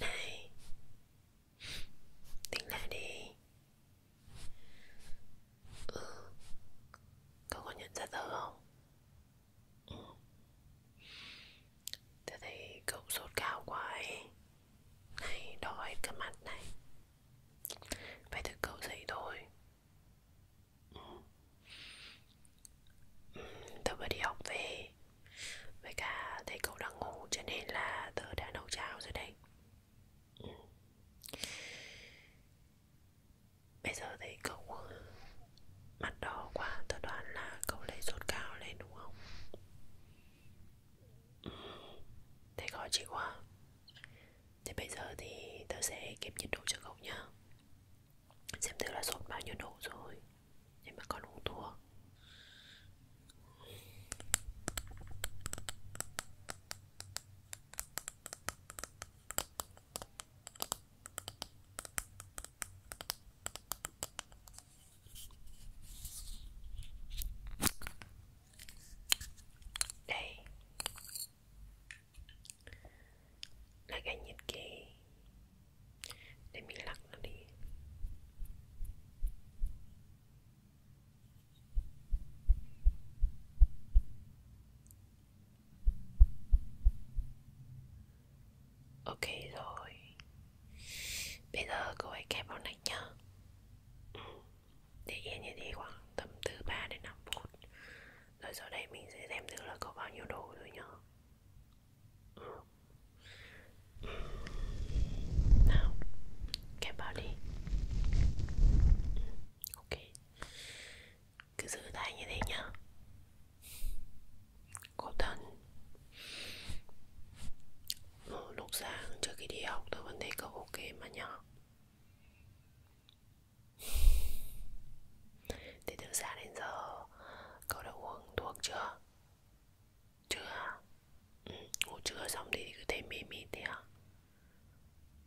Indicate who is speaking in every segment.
Speaker 1: Này Tính lại đi Ừ Cậu có nhận ra tớ không? Ừ Tớ thấy cậu sốt cao quá ấy Này đỏ hết cả mặt này Phải thức cậu dậy thôi ừ tớ vừa đi học về với cả thấy cậu đang ngủ cho nên là tớ đã nấu cháo rồi đấy ừ. bây giờ thấy cậu mặt đỏ quá tớ đoán là cậu lấy sốt cao lên đúng không ừ. thấy khó chịu quá thế bây giờ thì tớ sẽ kiểm nhiệt độ cho cậu nhá xem thử là sốt bao nhiêu độ rồi nhưng mà con uống thuốc đây là cái nhật ký để mình lắc nó đi ok rồi bây giờ cô ấy kẹp vào nách nhá ừ. để yên như thế khoảng tầm từ 3 đến 5 phút rồi sau đây mình sẽ xem thử là có bao nhiêu đồ rồi nhá Now, get body. Ok, cứ giữ tay như thế nhá. Cổ thân. Lúc sáng trước khi đi học tôi vẫn thấy cậu ok mà nhở Thế từ sáng đến giờ cậu đã uống thuốc chưa? Trưa ừ, Ngủ trưa xong thì cứ thấy mê mê thế hả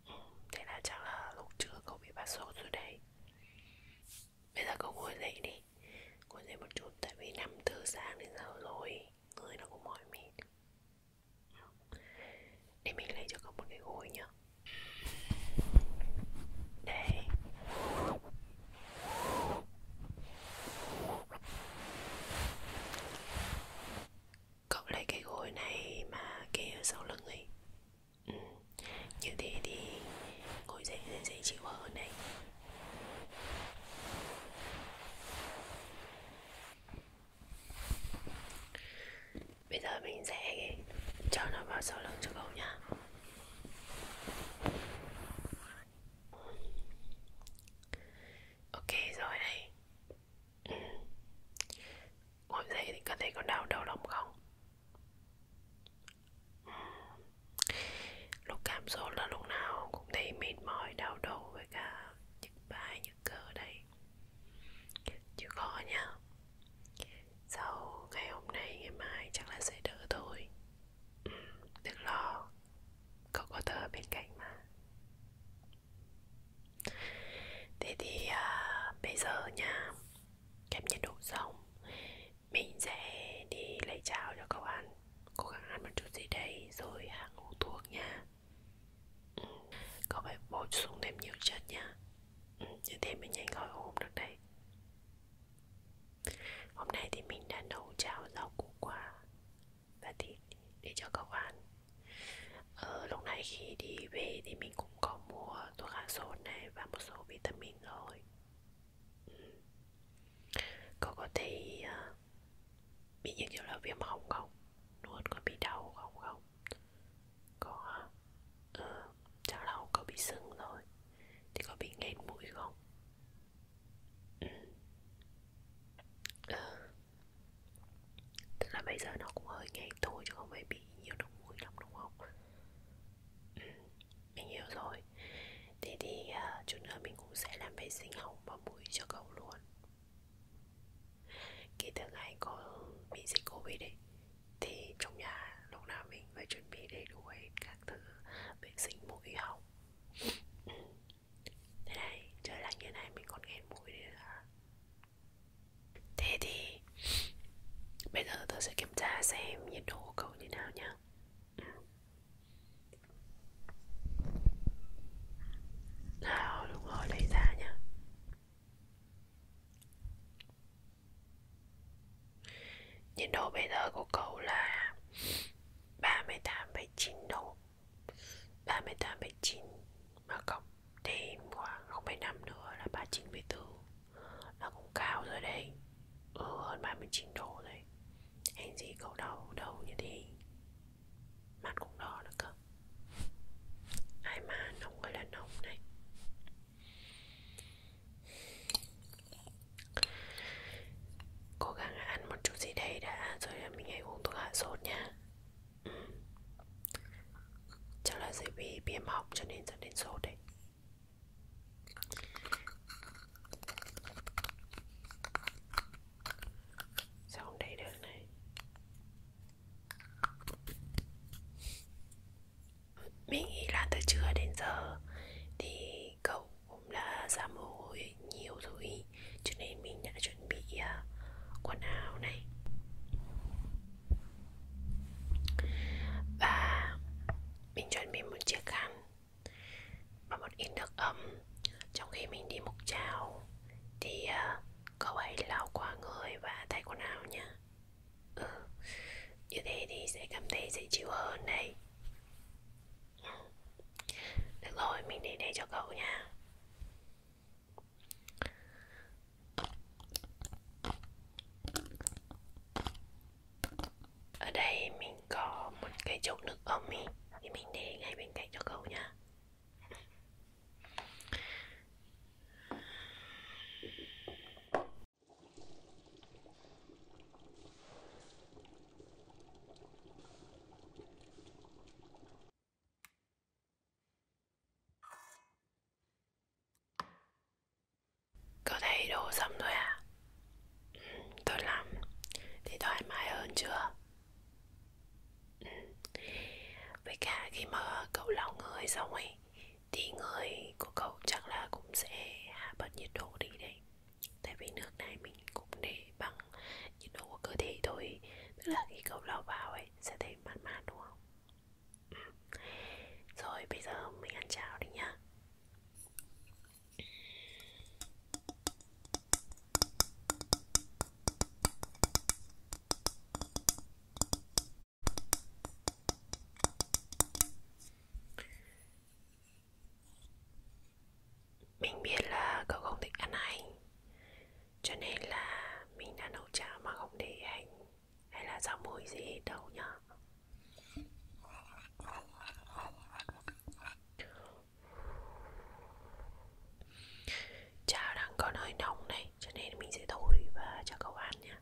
Speaker 1: ừ, Thế là chắc là lúc trưa cậu bị bắt sốt rồi đấy Bây giờ cậu ngồi dậy đi Ngồi dậy một chút Tại vì 5 giờ sáng đến giờ rồi Người nó cũng mỏi mệt Để mình lấy cho cậu một cái gối nhá Đây Cậu lấy cái gối này mà kê ở sau lưng ấy ừ. Như thế thì ngồi dậy dễ, dễ chịu hơn đấy Bây giờ mình sẽ cho nó vào sau lưng cho cậu nha Ok rồi này ừ. Ngồi dậy thì có thấy có đau đầu lòng không? Ừ. Lúc cảm sốt là lúc nào cũng thấy mệt mỏi, đau đầu với cả nhức vai, nhức cơ đây Chứ khó nha Sau ngày hôm nay, ngày mai chắc là sẽ đỡ thôi ừ. Đừng lo Cậu có tớ ở bên cạnh mà Thế thì à, bây giờ nha Kẹp nhiệt độ xong Mình sẽ đi lấy cháo cho cậu ăn Cố gắng ăn một chút gì đấy Rồi hàng uống thuốc nha ừ. Cậu phải bổ sung thêm nhiều chất nha ừ. Như thế mới nhanh khỏi ốm được đấy Hôm nay thì mình đã nấu cháo rau củ quả và thịt để cho cậu ăn. Ờ, lúc này khi đi về thì mình cũng có mua thuốc hạ sốt này và một số vitamin rồi. Ừ. Cậu có thấy uh, bị những kiểu là viêm họng không? Nuốt có bị đau không không? Có Ừ, chắc là cậu bị sưng rồi Thì có bị nghẹt mũi không? Tức là bây giờ nó cũng hơi nhạt thôi chứ không phải bị nhiều nước muối lắm đúng không? Ừ, mình hiểu rồi Thế thì uh, chút nữa mình cũng sẽ làm vệ sinh họng và mũi cho cậu luôn Kể từ ngày có bị dịch Covid ấy Thì trong nhà lúc nào mình phải chuẩn bị đầy đủ hết các thứ vệ sinh mũi họng Thế này, trời lạnh như này mình còn nghẹn mũi nữa à? Thế thì Bây giờ tôi sẽ kiểm tra xem nhiệt độ của cậu như nào nhá Nào đúng rồi lấy ra nhá Nhiệt độ bây giờ của cậu là 38,9 độ 38,9 mà cộng thêm khoảng 0,5 nữa là 39,4 nó cũng cao rồi đấy ừ, hơn 39 độ rồi hành gì cậu đau đầu như thế mặt cũng đỏ nữa cơ ai mà nóng người là nóng này Cố gắng ăn một chút gì đấy đã Rồi mình hãy uống thuốc hạ sốt nha ừ. Chắc là bởi vì viêm họng cho nên dẫn đến sốt đấy Sao không đẩy được này Mình nghĩ là từ trưa đến giờ Thì cậu cũng đã ra mồ hôi nhiều rồi cho nên mình đã chuẩn bị à, quần áo này và mình chuẩn bị một chiếc khăn và một ít nước ấm trong khi mình đi mục chào thì uh, cậu hãy lau qua người và thay quần áo nhé ừ. như thế thì sẽ cảm thấy dễ chịu hơn đấy được rồi, mình để đây cho cậu nha Ở đây mình có một cái chậu nước ấm ý, Thì mình để ngay bên cạnh cho cậu nha có thấy đồ xong rồi à? Ừ, tốt lắm. Thì thoải mái hơn chưa? Ừ. Với cả khi mà cậu lau người xong ấy Thì người của cậu chắc là cũng sẽ hạ bớt nhiệt độ đi đấy tại vì nước này mình cũng để bằng nhiệt độ của cơ thể thôi tức là khi cậu lau vào ấy sẽ thấy mát mát đúng không ừ. rồi bây giờ mình ăn cháo đi nhá mình biết là cậu không thích ăn hành Cho nên là mình đã nấu cháo mà không để hành Hay là rau mùi gì hết đâu nhá Cháo đang còn hơi nóng này Cho nên mình sẽ thổi và cho cậu ăn nha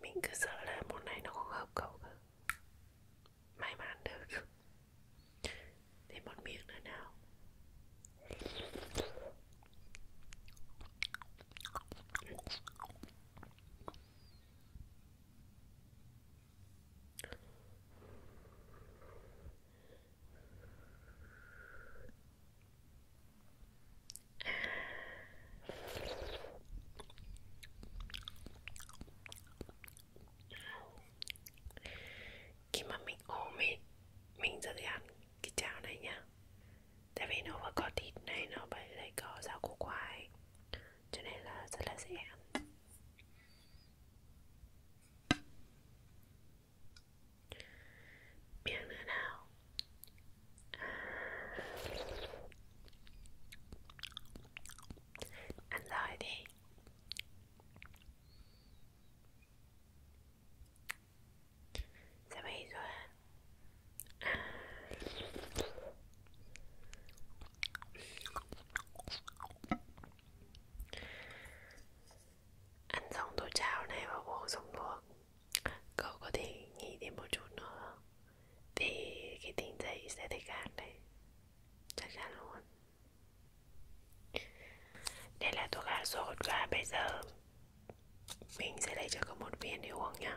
Speaker 1: mình cứ sợ là món này nó không hợp cậu cơ may mà ăn được thêm một miếng nữa nào khi mà mình ốm ấy mình rất ăn cái cháo này nha tại vì nó phải có thịt này nó phải lại có rau củ khoai cho nên là rất là dễ ăn miếng nữa nào Ăn rồi đi Sao bây giờ Ăn xong tô cháo này và bổ dùng thuốc cậu có thể nghĩ thêm một chút nữa thì cái tính dậy sẽ thích khác đấy chắc chắn luôn đây là thuốc hạ sốt và bây giờ mình sẽ lấy cho cậu một viên để uống nhá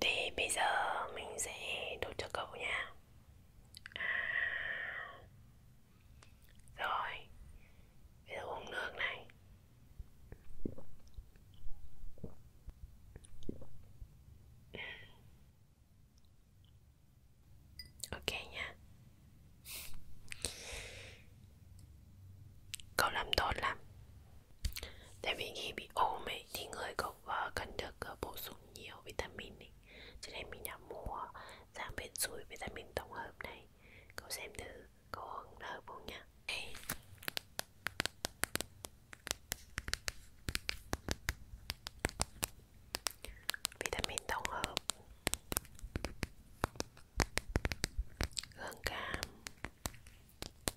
Speaker 1: Thì bây giờ mình sẽ đốt cho cậu nha à. Rồi Bây giờ uống nước này Ok nha Cậu làm tốt lắm Tại vì khi bị ốm ấy thì người cậu và ờ, cần được ờ, bổ sung nhiều vitamin ấy. cho nên mình đã mua dạng bên suối vitamin tổng hợp này cậu xem thử có hứng hợp không nhá okay. vitamin tổng hợp gương cam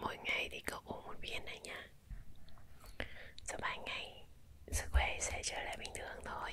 Speaker 1: Mỗi ngày thì cậu uống một viên này nha Sau 3 ngày, sức khỏe sẽ trở lại bình thường thôi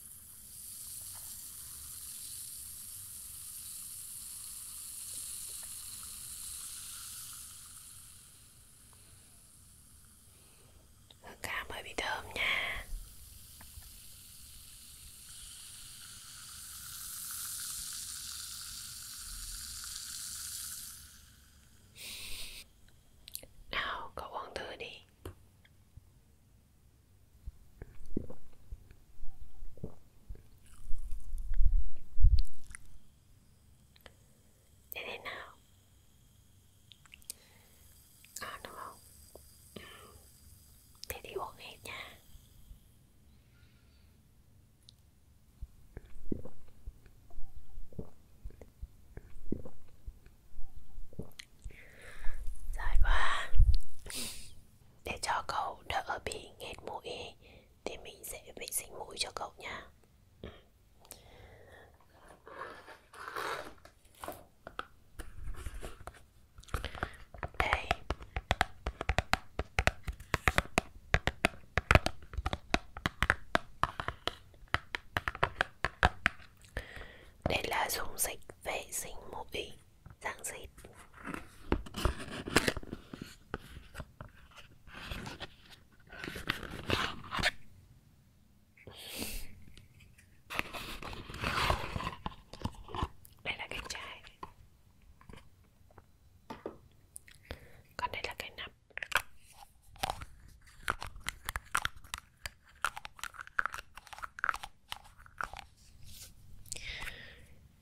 Speaker 1: Hương cam hơi bị thơm nha Nào cậu uống thử đi này để thế nào à đúng không ừ. thế thì uống hết nha Dài quá Để cho cậu đỡ bị nghẹt mũi Thì mình sẽ vệ sinh mũi cho cậu nha Đây đây là dung dịch vệ sinh mũi dạng dịt Đây là cái chai Còn đây là cái nắp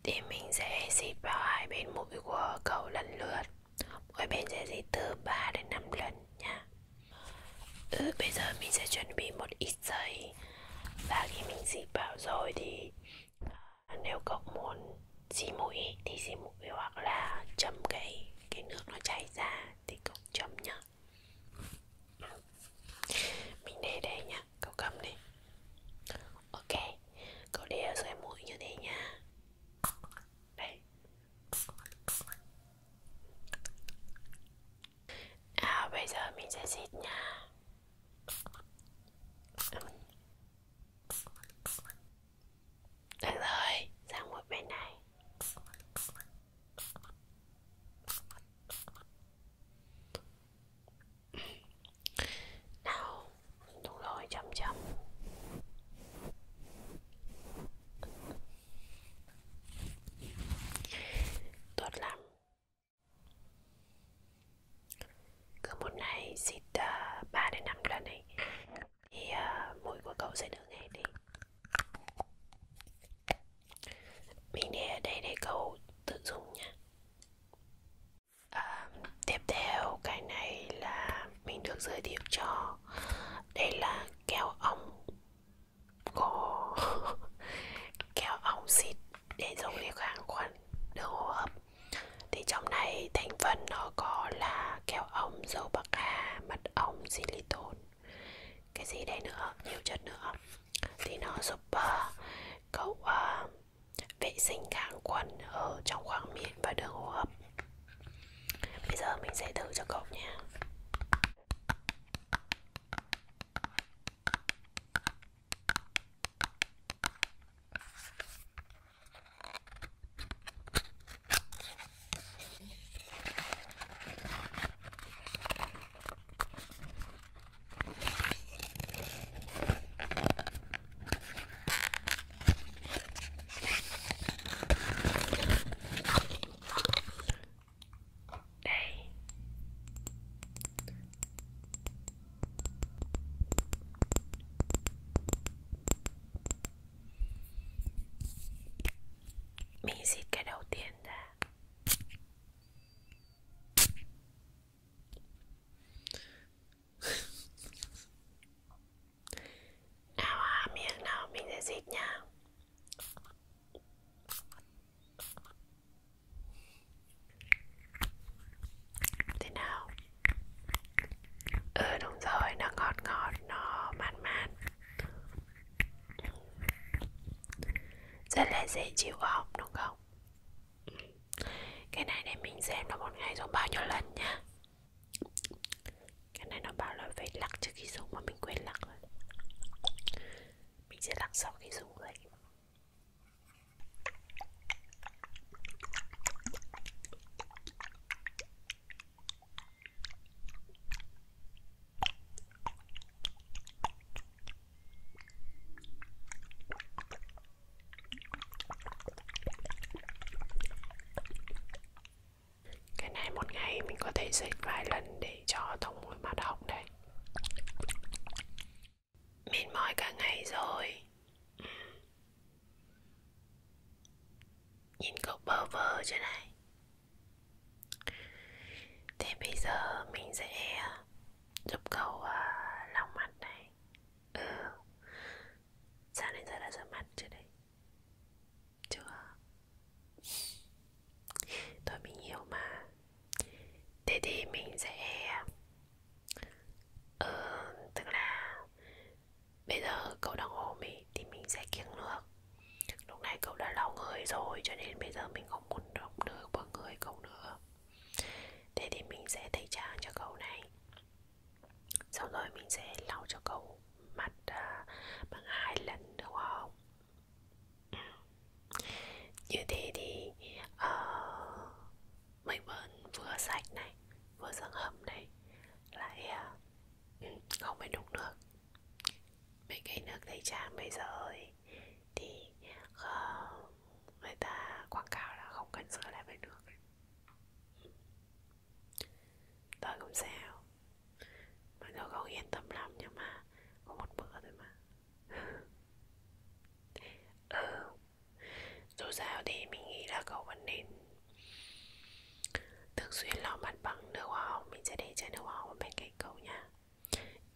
Speaker 1: thì mình sẽ xịt vào hai bên mũi của cậu lần lượt mỗi bên sẽ xịt từ 3 đến 5 lần nha ừ, bây giờ mình sẽ chuẩn bị một ít giấy và khi mình xịt vào rồi thì à, nếu cậu muốn xì mũi thì xì mũi hoặc là chấm cái cái nước nó chảy ra thì cậu chấm nhá mình để đây nha Cậu cầm đi Ok Cậu đeo xoay mũi như thế nha Đây À bây giờ mình sẽ xịt nha Được rồi, sang một bên này nào đúng rồi chậm chậm tốt lắm cứ một ngày xịt uh, ờ, 3 đến 5 lần ấy thì uh, ờ, mũi của cậu sẽ được nghe đi mình để ở đây để cậu tự dùng nha à, Tiếp theo cái này là mình được giới thiệu cho Đây là keo ong Có keo ong xịt để dùng để kháng khuẩn đường hô hấp Thì trong này thành phần nó có là keo ong, dầu bạc hà, mật ong, xilitol cái gì đấy nữa nhiều chất nữa thì nó giúp uh, cậu uh, vệ sinh kháng khuẩn ở trong khoang miệng và đường hô hấp bây giờ mình sẽ thử cho cậu nha đây mình xịt cái đầu tiên ra nào à, miệng nào mình sẽ dịch nha Thế nào Ừ đúng rồi, nó ngọt ngọt, nó man man rất là dễ chịu học đúng không? Cái này để mình xem nó một ngày dùng bao nhiêu lần nha Cái này nó bảo là phải lắc trước khi dùng mà mình quên lắc rồi Mình sẽ lắc sau khi dùng vậy cái này một ngày mình có thể xịt vài lần để cho thông mùi mặt họng đấy Mình mỏi cả ngày rồi ừ. Nhìn cậu bơ vơ trên này Thế bây giờ mình sẽ giúp cậu uh, lau mặt này Ừ Sao đến giờ đã rửa mặt chưa đấy? Chưa Thôi mình hiểu mà Thế thì mình sẽ Ừ, tức là Bây giờ cậu đang ôm ý Thì mình sẽ kiêng nước Lúc này cậu đã lau người rồi Cho nên bây giờ mình không muốn động được vào người cậu nữa Thế thì mình sẽ tẩy trang cho cậu này Sau rồi mình sẽ lau cho cậu mặt à, bằng hai lần đúng không? Như thế thì uh, mình vẫn vừa sạch này Vừa dưỡng hầm này Lại uh, không phải đụng được mấy cái nước tẩy trang bây giờ ấy, thì uh, người ta quảng cáo là không cần sửa lại với nước tôi cũng sao mà tôi không yên tâm lắm nhưng mà có một bữa thôi mà ừ dù sao thì mình nghĩ là cậu vẫn nên thường xuyên lau mặt bằng nước hoa hồng mình sẽ để chai nước hoa hồng bên cạnh cậu nha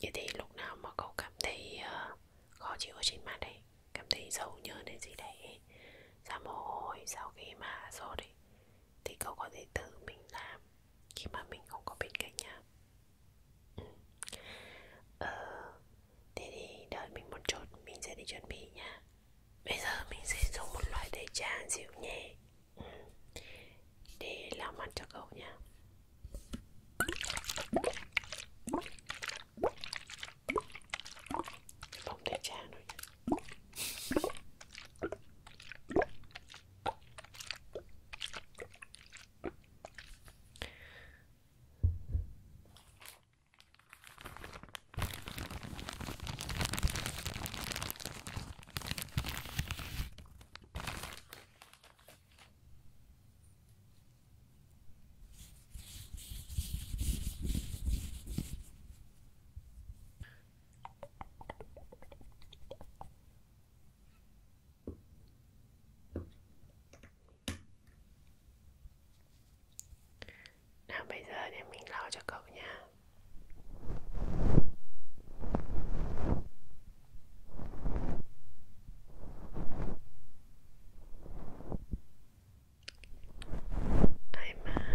Speaker 1: Vậy thì lúc nào mà cậu cảm thấy uh, khó chịu ở trên mặt đấy Cảm thấy dầu nhớn hay gì đấy Ra mồ hôi sau khi mà sốt ấy Thì cậu có thể tự mình làm Khi mà mình không có bên cạnh nha ừ. ờ, Thế thì đợi mình một chút Mình sẽ đi chuẩn bị nha Bây giờ mình sẽ dùng một loại tẩy trang dịu nhẹ để làm ăn cho cậu nha phòng để cha rồi nào bây giờ để mình lau cho cậu nha. Einmal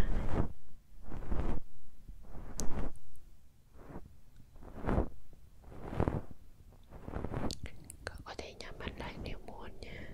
Speaker 1: cậu có thể nhắm mắt lại nếu muốn nha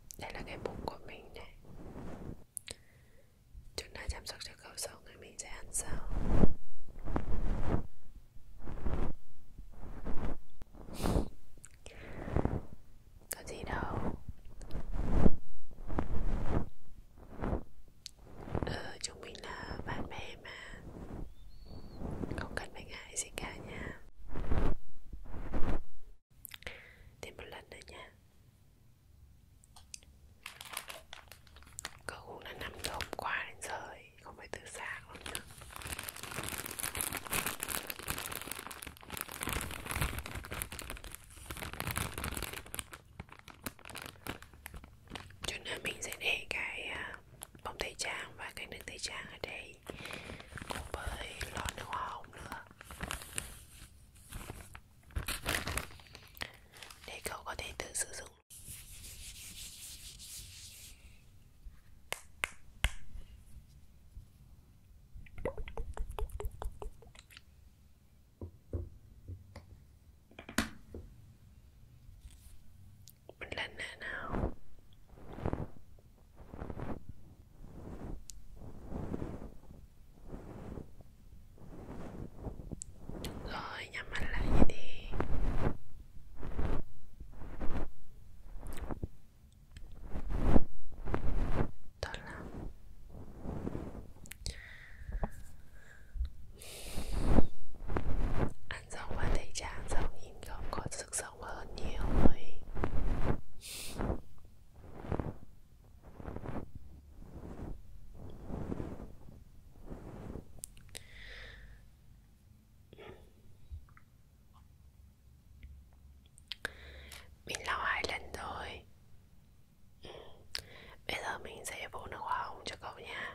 Speaker 1: Đây là cái bụng của mình này Chúng ta chăm sóc cho cậu sống Rồi mình sẽ ăn sau Có gì đâu Ờ chúng mình là bạn bè mà Không cần phải ngại gì cả nha Thêm một lần nữa nha Cậu cũng là 5 giờ hôm qua đến giờ ấy, Không phải từ sáng luôn nữa Chút nữa mình sẽ để cái à, bông tẩy trang và cái nước tẩy trang ở đây Cùng với lọ nước hoa hồng nữa để cậu có thể tự sử dụng một lần nữa nào Đúng rồi, nhắm mắt lại vậy đi Tốt lắm Anh Dông và thấy chàng Dông nhìn không có sức sống hơn nhiều rồi mình lau hai lần rồi ừ. Bây giờ mình sẽ vỗ nước hoa hồng cho cậu nha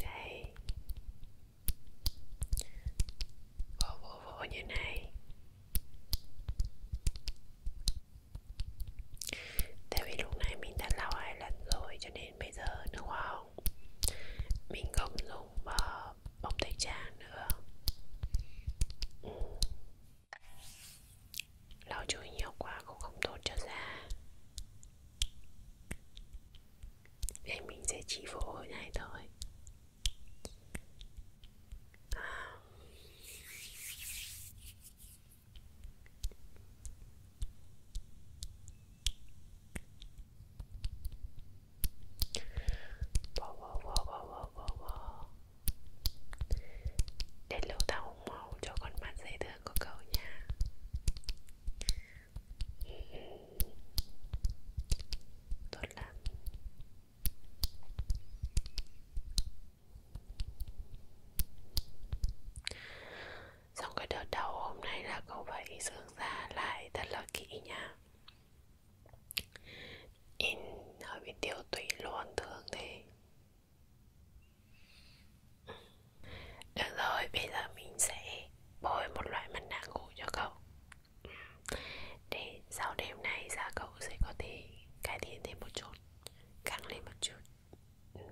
Speaker 1: Đây Vỗ vỗ vỗ như này Tại vì lúc này mình đã lau hai lần rồi Cho nên bây giờ nước hoa hồng Mình không dùng uh, bông tẩy trang nữa ừ. Lau chùi nhiều quá cũng không tốt cho da Vậy mình sẽ chỉ vỗ hồi này thôi à. Bỏ bỏ bỏ bỏ bỏ bỏ bỏ Đến lúc ta hùng màu cho con mắt dễ thương giường của cậu nha Tốt lắm Xong cái đợt đầu hôm nay là cậu phải dưỡng da lại thật là kỹ nha In hơi bị tiêu tụy luôn thường thế được rồi, bây giờ mình sẽ bôi một loại mặt nạ ngủ cho cậu Để sau đêm nay da cậu sẽ có thể cải thiện thêm một chút Căng lên một chút Được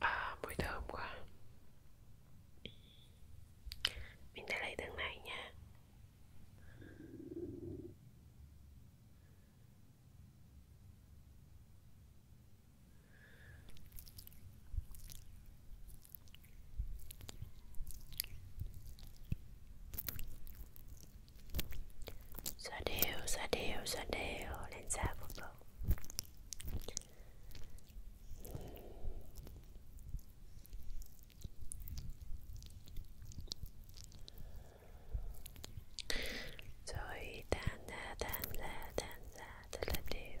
Speaker 1: À, mùi thơm quá Mình sẽ lấy từng này nha Xoa đều, xoa đều, xoa đều lên da của cậu Rồi tan ra, tan ra, tan ra, thật là đều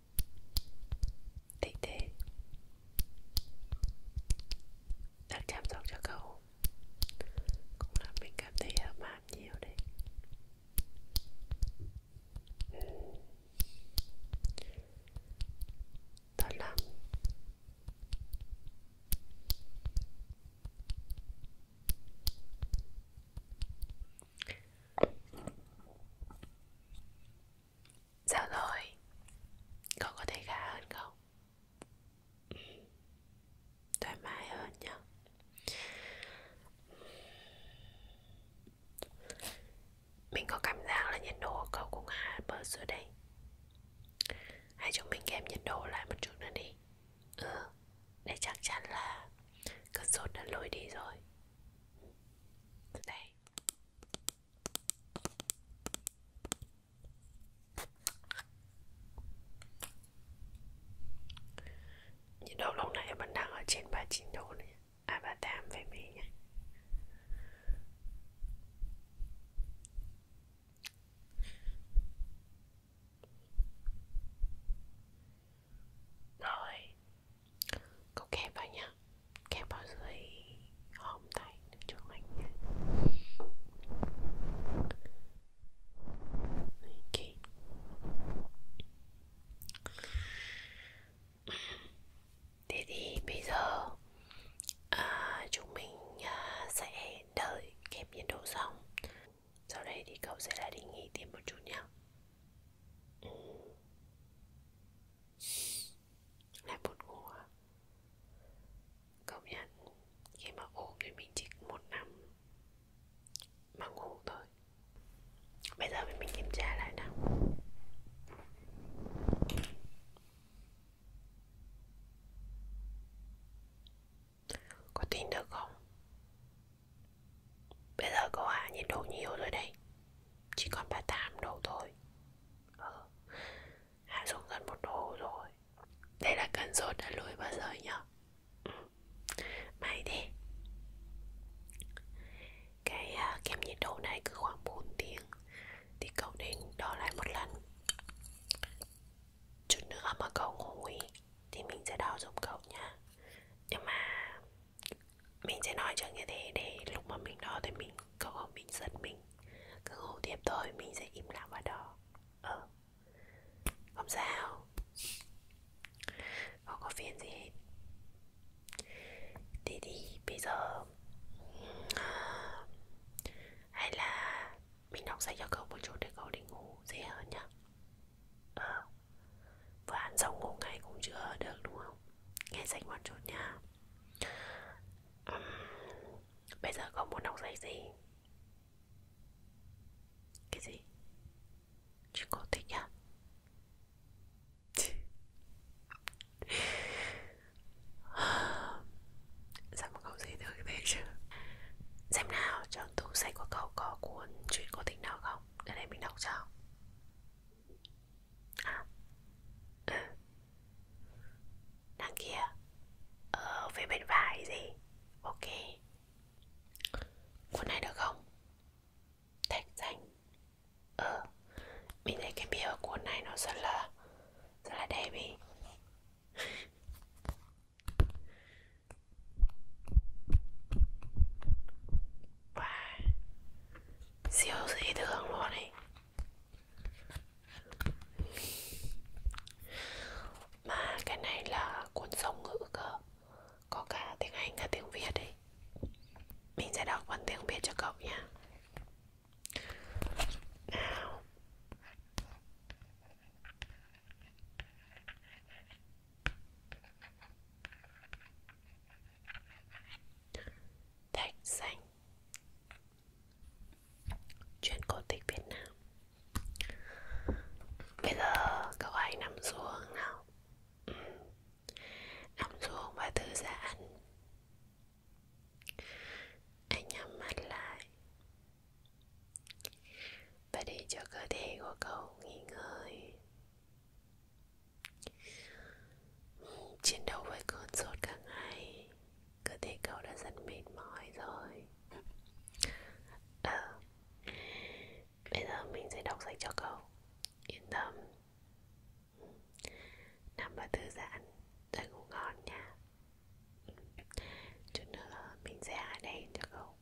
Speaker 1: Tị thế Đang chăm sóc cho cậu Cũng làm mình cảm thấy ấm áp nhiều đấy ừ. Tốt lắm Sao dạ rồi? Con có thấy khá hơn không? Ừ. Thoải mái hơn nhá Mình có cảm giác là nhiệt độ của cậu cũng hạ bớt rồi đây Hãy chúng mình kèm nhiệt độ lại một chút nữa đi Ừ, để chắc chắn là cơn sốt đã lôi đi rồi Đây nhiệt độ lúc này vẫn đang ở trên 39 độ này à 38 về mấy nhé rồi Cậu kẹp vào nhá Kẹp vào dưới hòm tay cho mình nhé okay. Thế thì bây giờ à, Chúng mình à, sẽ đợi kẹp nhiệt độ xong Sau đây thì cậu sẽ lại đi nghỉ thêm một chút nhé Ừ lại buồn ngủ à? công nhận khi mà ốm thì mình chỉ một năm mà ngủ thôi bây giờ mình kiểm tra lại nào có tin được không bây giờ có hạ à? nhiệt độ nhiều rồi đây chỉ còn 38 độ thôi Ừ Hạ xuống gần một độ rồi Đây là cần rốt đã lùi bao giờ nhở ừ. May thế Cái uh, kem nhiệt độ này cứ khoảng 4 tiếng Thì cậu nên đo lại một lần Chút nữa mà cậu ngủ ý, Thì mình sẽ đo giúp cậu nha Nhưng mà mình sẽ nói chẳng như thế để lúc mà mình đo thì mình cậu không mình giật mình cứ hô tiếp thôi mình sẽ im lặng và đo ờ không sao không có phiền gì hết thế thì bây giờ hay là mình đọc sách cho cậu một chút để cậu đi ngủ dễ hơn nhá ờ vừa ăn xong ngủ ngay cũng chưa được đúng không nghe sách một chút nha uhm, bây giờ con muốn đọc giấy gì cái gì chị cô thích à sao mà cậu gì được thế chứ xem nào trong tủ sách của cậu có cuốn chuyện cổ tích nào không để đây mình đọc cho à, ừ đằng kia ở ờ, phía bên phải gì ok cuốn này được không thạch xanh ờ mình thấy cái bìa cuốn này nó rất là rất là đẹp ý và siêu dị thường luôn ấy mà cái này là cuốn song ngữ cơ Có cả tiếng Anh cả tiếng Việt ấy Mình sẽ đọc bằng tiếng Việt cho cậu nha Nào Thạch xanh Chuyện cổ tích Việt Nam Bây giờ cậu hãy nằm xuống nào ừ. Nằm xuống và thư giãn Anh nhắm mắt lại Và để cho cơ thể của cậu nghỉ ngơi Chiến đấu với cơn sốt cả ngày Cơ thể cậu đã rất mệt mỏi rồi à, Bây giờ mình sẽ đọc sách cho cậu Yên tâm Nằm và thư giãn Rồi ngủ ngon nha Chút nữa mình sẽ hạ đèn cho cậu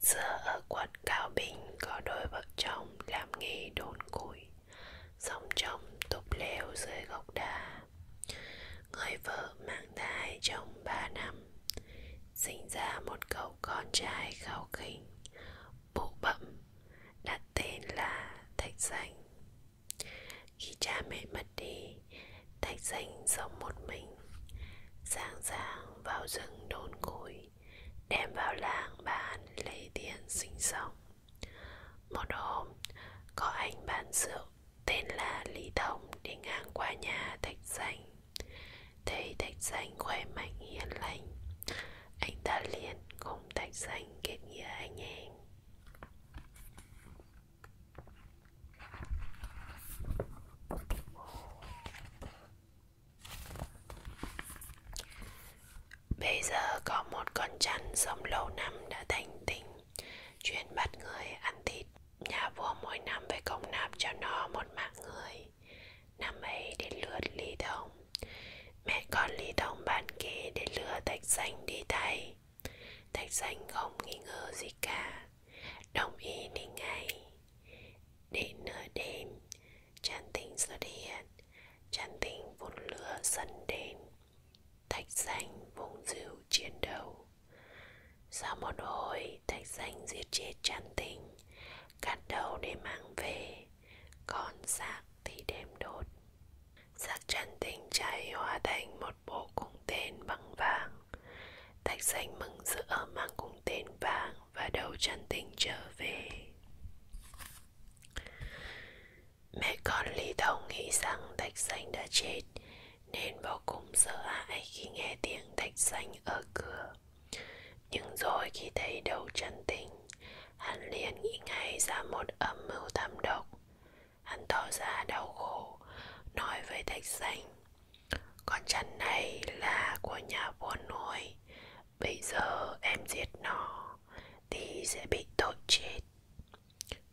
Speaker 1: Xưa ở quận Cao Bình có đôi vợ chồng làm nghề đốn củi, sống trong túp lều dưới gốc đa. Người vợ mang thai trong ba năm, sinh ra một cậu con trai khao khỉnh, bụ bẫm, đặt tên là Thạch Danh. Khi cha mẹ mất đi, Thạch Xanh sống một mình. Sáng sáng vào rừng đốn củi, đem vào làng bán lấy tiền sinh sống. Một hôm, có anh bán rượu tên là Lý Thông đi ngang qua nhà Thạch Xanh. Thấy Thạch Xanh khỏe mạnh hiền lành, anh ta liền cùng Thạch Xanh kết nghĩa anh em. Bây giờ có một con chăn sống lâu năm đã thành tinh Chuyên bắt người ăn thịt Nhà vua mỗi năm phải công nạp cho nó một mạng người Năm ấy đến lượt Lý Thông Mẹ con Lý Thông bàn kế để lừa Thạch Xanh đi thay Thạch xanh không nghi ngờ gì cả Đồng ý đi ngay Đến nửa đêm Tràn tình xuất hiện Tràn tình vốn lửa dần đến Thạch xanh vùng rượu chiến đấu Sau một hồi Thạch xanh giết chết tràn tình Cắt đầu để mang về Còn xác thì đem đốt Xác tràn tình cháy hóa thành một một bộ cung tên bằng vàng Thạch xanh mừng rỡ mang cung tên vàng và đầu chân tình trở về Mẹ con Lý Thông nghĩ rằng Thạch Xanh đã chết Nên vô cùng sợ hãi khi nghe tiếng Thạch Xanh ở cửa Nhưng rồi khi thấy đầu chân tình Hắn liền nghĩ ngay ra một âm mưu thâm độc Hắn tỏ ra đau khổ Nói với thạch xanh Con chăn này là của nhà vua nuôi Bây giờ em giết nó Thì sẽ bị tội chết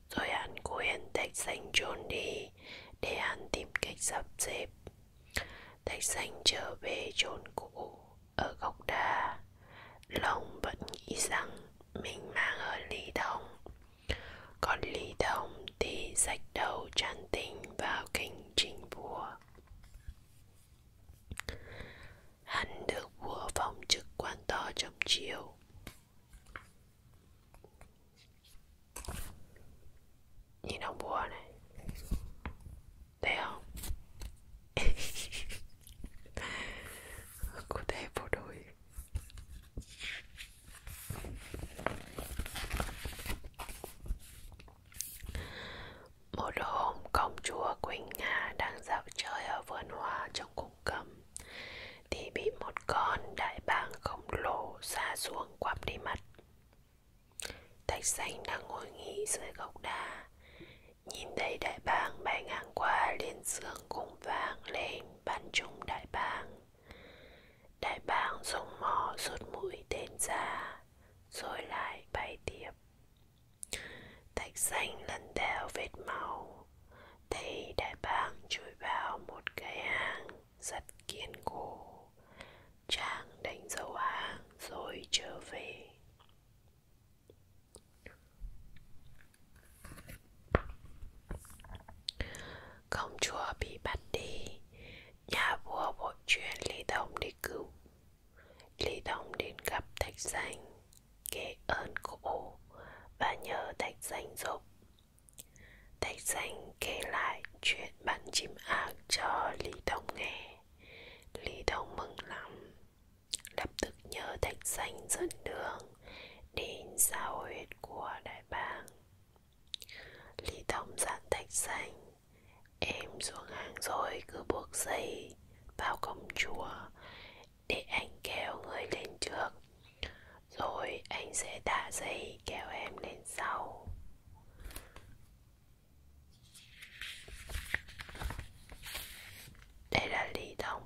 Speaker 1: Rồi hắn khuyên thạch xanh trốn đi Để hắn tìm cách sắp xếp Thạch xanh trở về chốn cũ Ở gốc đa Long vẫn nghĩ rằng Mình mang ở ly thông còn lý đồng thì rạch đầu tràn tình vào kinh trình vua hắn được vua phong chức quan to trong triều nhìn ông vua này thấy không cô té bộ đội một hôm, công chúa Quỳnh Nga đang dạo chơi ở vườn hoa trong cung cấm Thì bị một con đại bàng khổng lồ xa xuống quắp đi mất Thạch xanh đang ngồi nghỉ dưới gốc đa Nhìn thấy đại bàng bay ngang qua liền sương cùng vang lên bắn trúng đại bàng đại bàng dùng mỏ rút mũi tên ra rồi lại bay tiếp thạch xanh lần theo vết máu thấy đại bàng chui vào một cái hang rất kiên cố chàng đánh dấu hang rồi trở về Công chúa bị bắt đi, nhà vua vội truyền Lý Tông đi cứu. Lý Tông đến gặp Thạch Danh, kể ơn cổ và nhờ Thạch Danh giúp. Thạch Danh kể lại chuyện bắn chim ác cho Lý Tông nghe. Lý Tông mừng lắm, lập tức nhờ Thạch Danh dẫn đường đến giao huyệt của đại bàng lý thông dặn thạch xanh em xuống hàng rồi cứ buộc dây vào cổng chùa để anh kéo người lên trước rồi anh sẽ thả dây kéo em lên sau đây là lý thông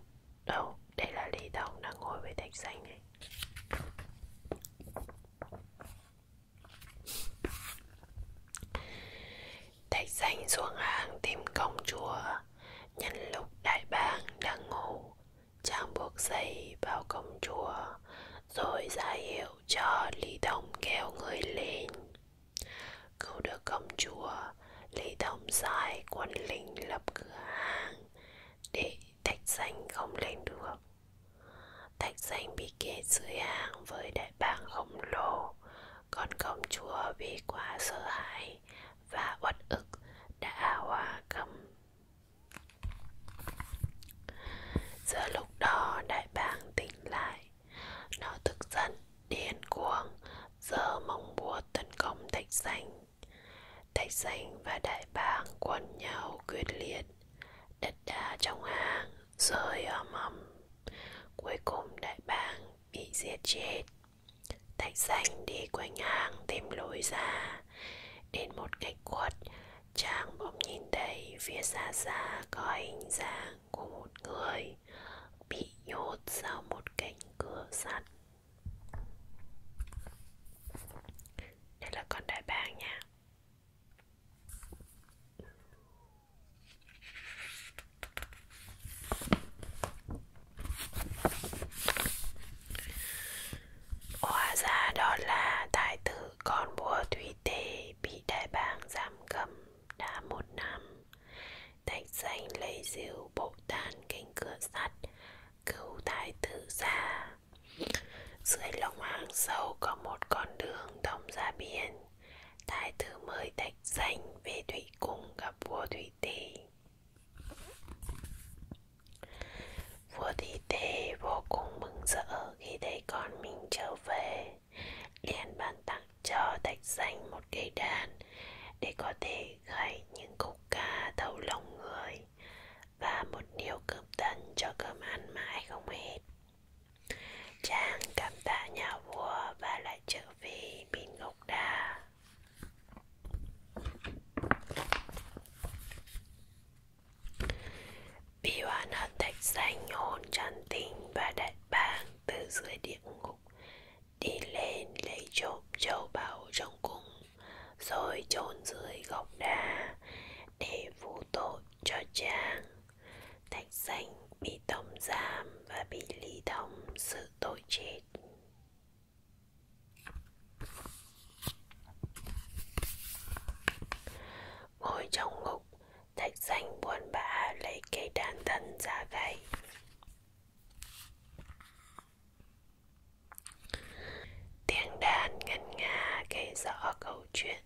Speaker 1: Đâu, đây là Lý Tổng đang ngồi với thạch xanh ấy Thạch xanh xuống hàng tìm công chúa Nhân lúc đại bàng đang ngủ Chàng buộc dây vào công chúa Rồi ra hiệu cho Lý Tổng kéo người lên Cứu được công chúa Lý Tổng sai quân lính lập cửa hàng để thạch xanh không lên được thạch xanh bị kẹt dưới hang với đại bàng khổng lồ còn công chúa vì quá sợ hãi và uất ức đã hòa cấm giữa lúc đó đại bàng tỉnh lại nó tức giận điên cuồng giờ mong búa tấn công thạch xanh Thạch xanh và đại bàng quấn nhau quyết liệt Đất đá trong hang rơi ầm ầm Cuối cùng đại bàng bị giết chết Thạch xanh đi quanh hang tìm lối ra Đến một cách quật Chàng bỗng nhìn thấy phía xa xa có hình dạng của một người Bị nhốt sau một cánh cửa sắt đây là con đại bàng nha Hóa ra đó là tài tử con bùa thủy tê bị đại bàng giam cầm đã một năm Thạch danh lấy diều bộ tàn cánh cửa sắt cứu thái tử ra dưới lòng hang sâu có một con đường thông ra biển thái tử mời thạch danh về thủy cung gặp vua thủy tề vua thủy tề vô cùng mừng rỡ khi thấy con mình trở về liền ban tặng cho thạch danh một cây đàn để có thể gảy những khúc ca thấu lòng người và một điều cướp tần cho cơm ăn mãi không hết chàng cảm tạ nhà vua và lại trở về bên ngọc đà bị oán hận thạch xanh hồn tràn tình và đại bàng từ dưới địa ngục đi lên lấy trộm châu báu trong cung rồi chôn dưới gốc đá để vu tội cho Trang. Thạch Xanh bị tống giam và bị Lý Thông xử tội chết. Ngồi trong ngục, Thạch Xanh buồn bã lấy cây đàn thân ra gậy tiếng đàn ngân nga kể rõ câu chuyện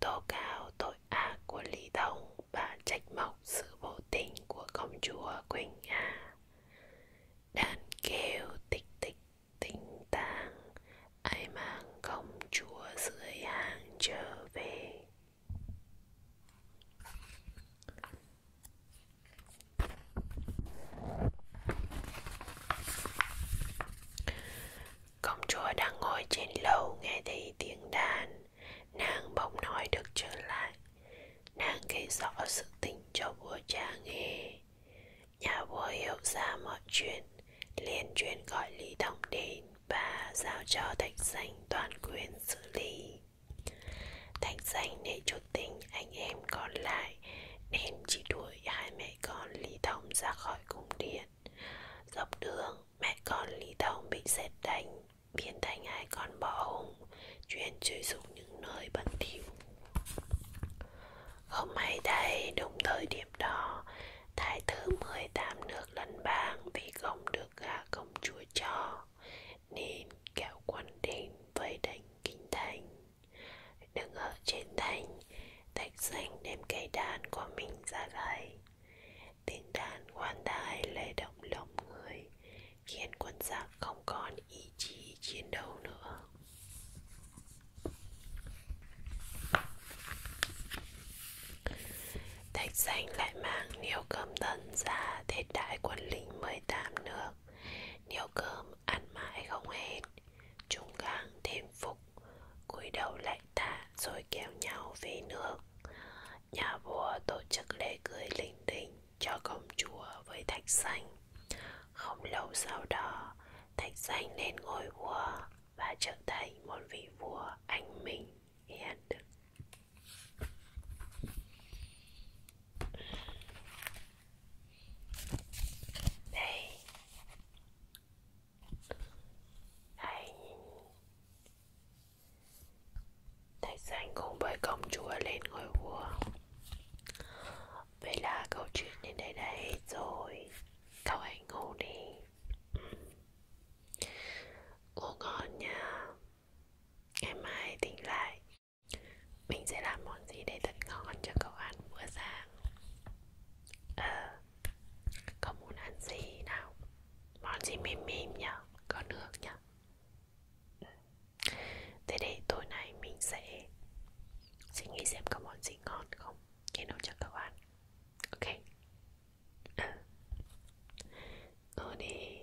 Speaker 1: tố cáo tội ác của lý thông và trách móc sự vô tình của công chúa quỳnh nga đàn kêu tích tích tinh tang ai mang công chúa dưới hàng trở về Công chúa đang ngồi trên lầu nghe thấy tiếng đàn Nàng bỗng nói được trở lại Nàng kể rõ sự tình cho vua cha nghe Nhà vua hiểu ra mọi chuyện liền truyền gọi Lý Tổng đến và giao cho Thạch Danh toàn quyền xử lý Thạch Danh để chút tình anh em còn lại lại Nên chỉ đuổi hai mẹ con Lý Thông ra khỏi cung điện Dọc đường mẹ con Lý Thông bị xét đánh Biến thành hai con bò hùng Chuyên chơi dục những nơi bẩn thỉu Không may thay đúng thời điểm đó Thái tử 18 nước lân bang vì không được gả công chúa cho Nên kéo quân đến vây đánh kinh thành đứng ở trên thành thạch xanh đem cây đàn của mình ra gãy tiếng đàn quan tài lay động lòng người khiến quân giặc không còn ý chí chiến đấu nữa thạch xanh lại mang nhiều cơm tần ra thế đại quân lính 18 nước nhiều cơm ăn mãi không hết Chúng gang thêm phục cúi đầu lại tạ rồi kéo nhau về nước Nhà vua tổ chức lễ cưới linh đình cho công chúa với thạch xanh Không lâu sau đó thạch xanh lên ngôi vua và trở thành một vị vua anh minh hiền đức đây Hãy Thạch Sanh cùng với công chúa lên ngôi vua Vậy là câu chuyện đến đây đã hết rồi Cậu hãy ngủ đi Ngủ ngon nha Ngày mai tỉnh lại mình sẽ làm món gì để thật ngon cho cậu ăn bữa sáng Ờ Cậu muốn ăn gì nào Món gì mềm mềm nhá Có nước nhá ừ. Thế để tối nay mình sẽ Suy nghĩ xem có món gì ngon không Để nấu cho cậu ăn Ok Ừ Ừ đi